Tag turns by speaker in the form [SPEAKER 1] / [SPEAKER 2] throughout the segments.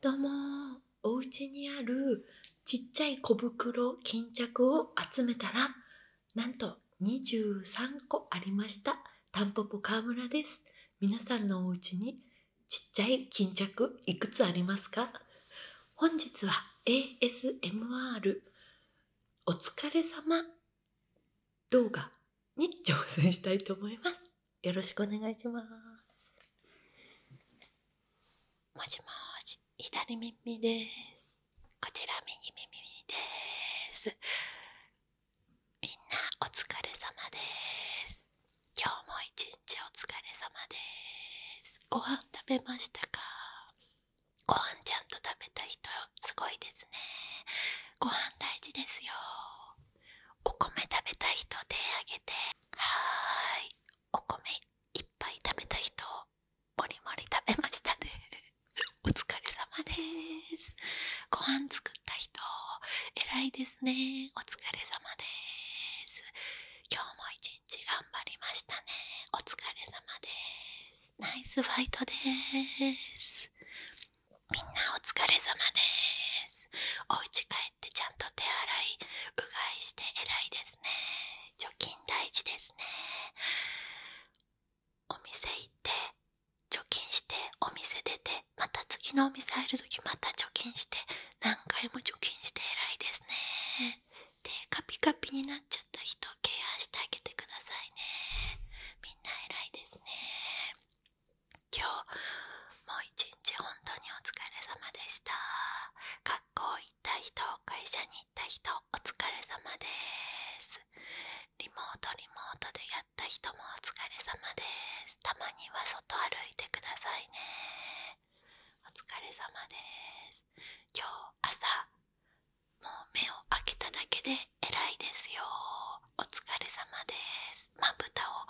[SPEAKER 1] どうもお家にあるちっちゃい小袋巾着を集めたらなんと23個ありましたタンポポ川村です皆さんのお家にちっちゃい巾着いくつありますか本日は ASMR お疲れ様動画に挑戦したいと思いますよろしくお願いします。もしもし、左耳です。こちら右耳です。みんなお疲れ様です。今日も一日お疲れ様です。ご飯食べましたかご飯ちゃんと食べた人すごいですね。ご飯大事ですよ。お米食べたい人手あげてはーいお米いっぱい食べた人もりもり食べましたね お疲れ様ですご飯作った人偉いですねお疲れ様ですまですお疲れ様ですっちゃんと手洗いうがいして偉いですね貯金大事ですねお店行って貯金してお店出てまた次のお店入るとまた貯金して何回も貯金して偉いですねでカピカピになっちゃった人ケアしてあげてくださいねみんな偉いですね今日もう一日本当にお疲れ様でした学校行った人会社に行った人お疲れ様ですリモートリモートでやった人もお疲れ様ですたまには外歩いてくださいねお疲れ様です今日朝もう目を開けただけで偉いですよお疲れ様ですまぶたを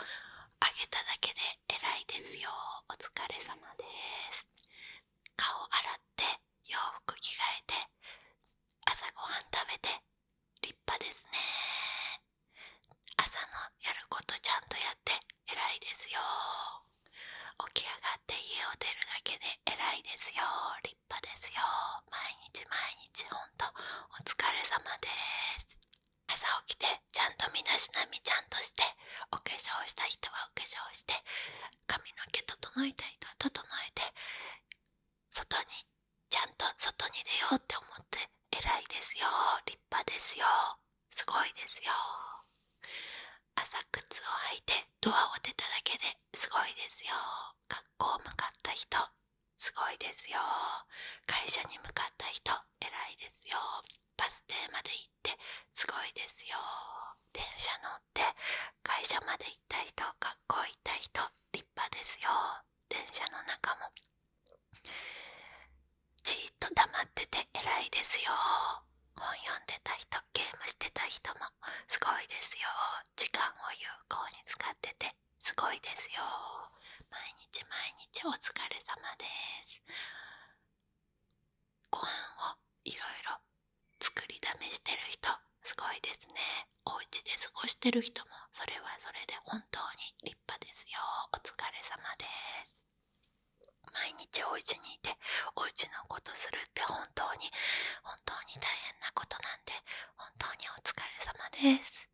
[SPEAKER 1] 上げただけで偉いですよお疲れ様です顔洗って洋服着替えて朝ごはん食べて立派ですね朝のやることちゃんとやって偉いですよ起き上がって家を出るだけで偉いですよ立派ですよ毎日毎日本とお疲れ様です朝起きてちゃんと身だしなみちゃんとしてお化粧した人はお化粧して髪の毛整えた人は整えて外にちゃんと外に出ようって思って偉いですよ立派ですよすごいですよ朝靴を履いてドアを出ただけですごいですよ学校向かった人すごいですよ会社に向かった人偉いですよバス停まで行ってすごいですよ電車乗って会社まで行った人学校行った人立派ですよ電車の中もじっと黙ってて偉いですよ本読んでた人ゲームしてた人もすごいですよ時間を有効に使っててすごいですよ毎日毎日お疲れ様ですご飯をいろ作りだしてる人すごいですねお家で過ごしてる人もそれはそれで本当に立派ですよお疲れ様です毎日お家にいてお家のことするって本当に本当に大変なことなんで本当にお疲れ様です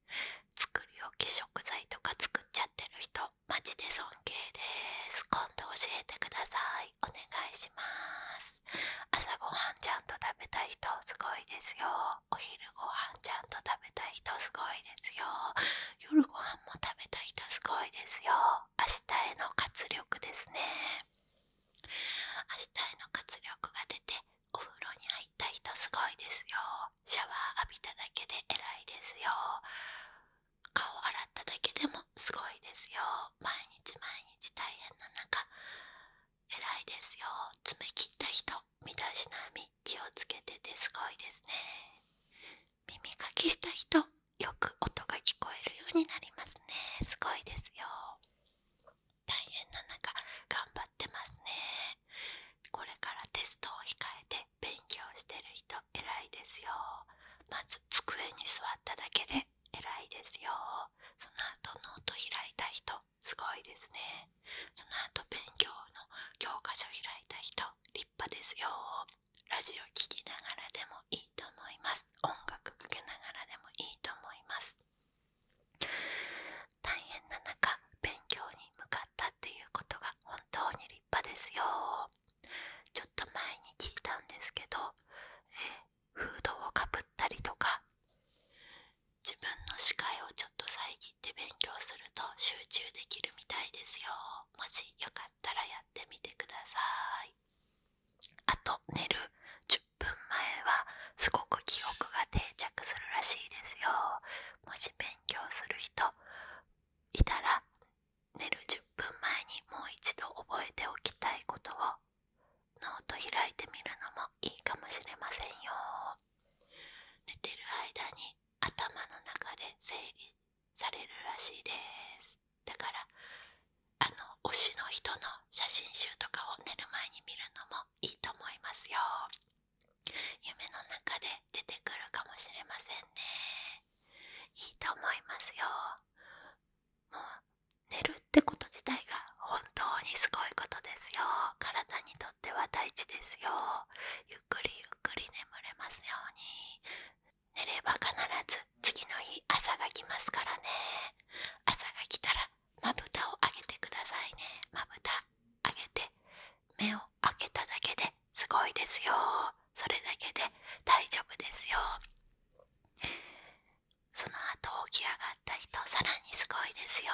[SPEAKER 1] 作り置き食材とか作っちゃってる人マジで尊敬です今度教えてくださいお願いします朝ごはんちゃんと食べたい人すごいですよお昼ごはんちゃんと食べたい人すごいですよ夜ごはんも食べたい人すごいですよ明日への活力ですね明日への活力が出てお風呂に入った人すごいですよシャワー浴びただけで偉いですよ顔洗っただけでもすごいですよ毎日毎日大変な中偉いですよ爪切った人身だしなみ気をつけててすごいですね耳かきした人よく音が聞こえるようになりますねすごいですよ大変な中頑張ってますねこれからテストを控えて勉強してる人偉いですよまず机に座っただけで偉いですよその後ノート開いた人すごいですねその後勉強の教科書開いた人立派ですよラジオ聴きながらでもいいと思います音楽かけながらでもいいと思います大変な中勉強に向かったっていうことが本当に立派ですよちょっと前に聞いたんですけどフードをかぶったりとか自分の視界をちょっと遮って勉強すると集中できるみたいですよもしよかったらやってみてくださいあと寝る10分前はすごく記憶が定着するらしいですよもし勉強する人いたら寝る10分前にもう一度覚えておきたいことをノート開いてみるのもいいかもしれませんよ寝てる間に頭の中で整理されるらしいですだからあの推しの人の写真集とかを寝る前に見るのもいいと思いますよ夢の中で出てくるかもしれませんねいいと思いますよもう寝るってこと自体が本当にすごいことですよ体にとっては大事ですよゆっくりゆっくり眠れますように寝れば必ず次の日朝が来ますからね朝が来たらまぶたをあげてくださいねまぶた上げて目を開けただけですごいですよそれだけで大丈夫ですよその後起き上がった人さらにすごいですよ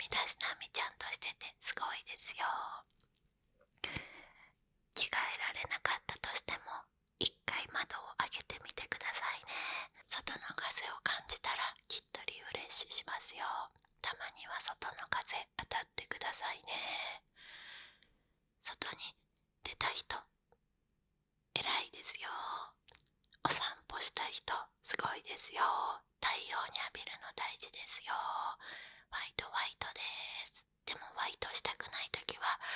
[SPEAKER 1] 身だしなみちゃんとしててすごいですよ着替えられなかったとしても1回窓を開けてみてくださいね外の風を感じたらきっとリフレッシュしますよたまには外の風当たってくださいね外に出た人偉いですよお散歩した人すごいですよ太陽に浴びるの大事ですよホワイトホワイトですでもワイトしたくない時は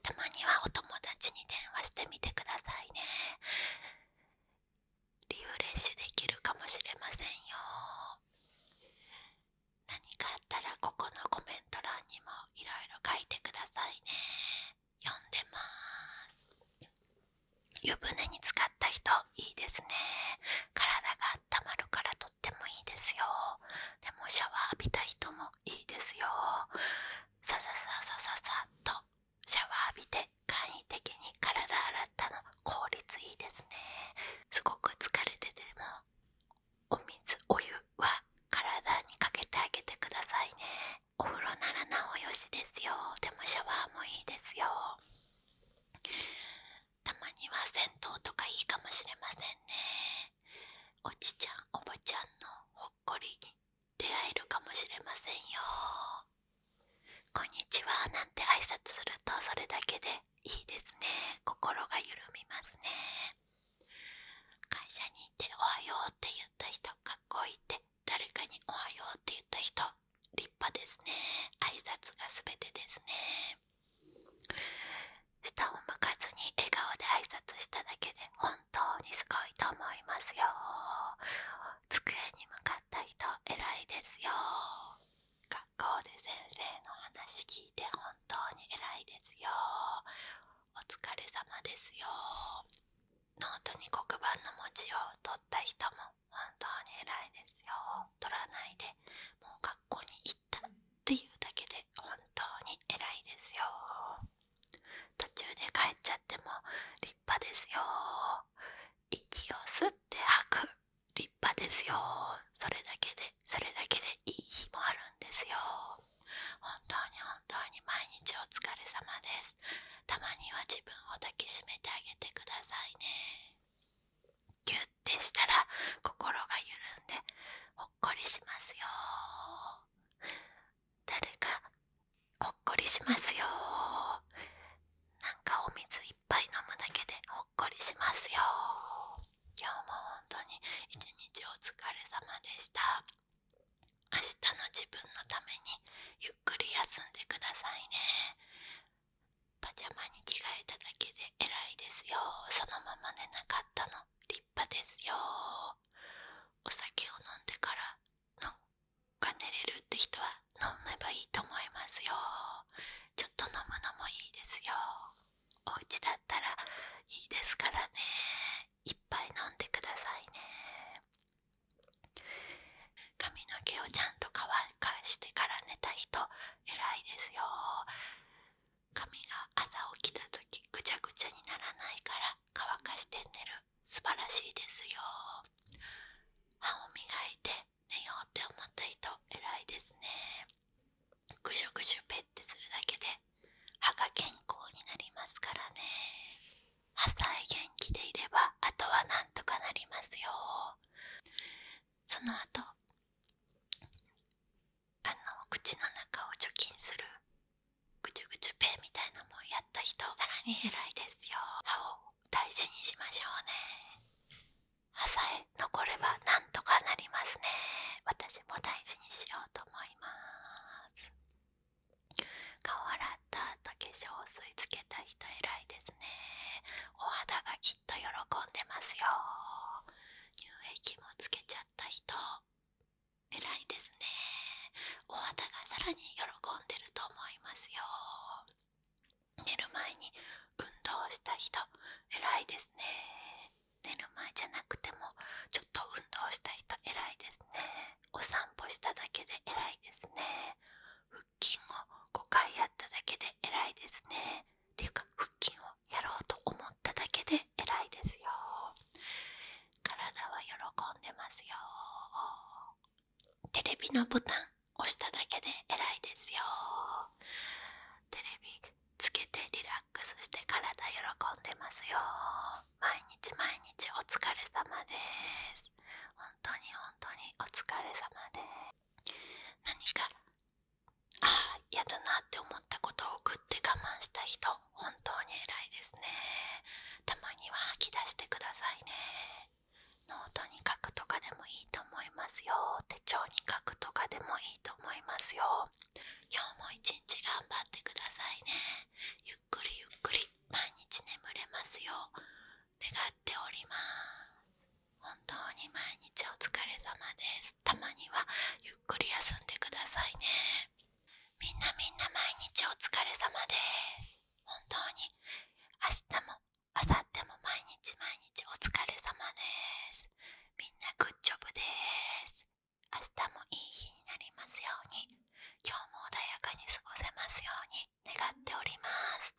[SPEAKER 1] たまにはお友達に電話してみてくださいねリフレッシュできるかもしれませんよ何かあったらここのコメント欄にもいろいろ書いてくださいね読んでます湯船に浸かった人いいですね体が温まるからとってもいいですよでもシャワー浴びた人もいいですよささささささとシャワー浴びて簡易的に体洗ったの効率いいですねすごく疲れててもお水お湯は体にかけてあげてくださいねお風呂ならなおよしですよでもシャワーもいいですよたまには銭湯とかいいかもしれませんねおじちゃんおばちゃんのほっこりに出会えるかもしれませんよこんにちはなんて挨拶するとそれだけでいいですね心が緩みますね会社に行っておはようって言った人かっこいいって誰かにおはようって言った人立派ですね挨拶がすべてですね下を向かずに笑顔で挨拶しただけで本当にすごいと思いますよ机に向かった人偉いですよ学校で先生の話聞いて本当に偉いですよお疲れ様ですよノートに黒板の文字を取った人も本当に偉いですよ取らないでもう学校に行たっていうだけで本当に偉いですよ途中で帰っちゃっても立派ですよ息を吸って吐く立派ですよそれだけでそれだけでいい日もあるんですよ本当に本当に毎日お疲れ様ですたまには自分を抱きしめてあげてくださいねギュッてしたら心が緩んでっこりしますよ誰かほっこりしますよなんかお水いっぱい飲むだけでほっこりしますよ今日も本当に一日お疲れ様でした明日の自分のためにゆっくり休んでくださいねパジャマに着替えただけで偉いですよそのままでなかったの立派ですよお酒を飲んでからのが寝れるって人は飲めばいいと思いますよちょっと飲むのもいいですよおうちだったらいいですからねいっぱい飲んでくださいね髪の毛をちゃんと乾かしてから寝た人偉いですよ髪が朝起きた時ぐちゃぐちゃにならないから乾かして寝る素晴らしいですよ歯を磨いて寝ようって思った人偉いですねぐしゅぐしゅペってするだけで歯が健康になりますからね歯さえ元気でいればあとはなんとかなりますよその後あの口の中を除菌するぐちゅぐちゅペンみたいなもんやった人さらに偉いですよ歯を大事にしましょうね歯さえ残ればなんとかなりますね私も大事にしようと思います顔洗った後化粧水つけた人偉いですねお肌がと喜んでますよ乳液もつけちゃった人偉いですねお肌がさらに喜んでると思いますよ寝る前に運動した人偉いですね寝る前じゃなくてもちょっと運動した人偉いですねお散歩しただけで偉いですね腹筋を5回やっただけで偉いですねていうか腹筋をやろうと思っただけで偉いですよ体は喜んでますよテレビのボタン押しただけで偉いですよテレビつけてリラックスして体喜んでますよ毎日毎日お疲れ様です本当に本当にお疲れ様です何かああ嫌だなって思ったことを送って我慢した人本当に偉いですねたまには吐き出してくださいねノートに書くとかでもいいと思いますよ手帳に書くとかでもいいと思いますよ今日も一日頑張ってくださいねゆっくりゆっくり毎日眠れますよ願っております本当に毎日お疲れ様ですたまにはゆっくり休んでくださいねみんなみんな毎日お疲れ様です本当に明日も明後日も毎日毎日お疲れ様ですみんなグッジョブです明日もいい日になりますように今日も穏やかに過ごせますように願っております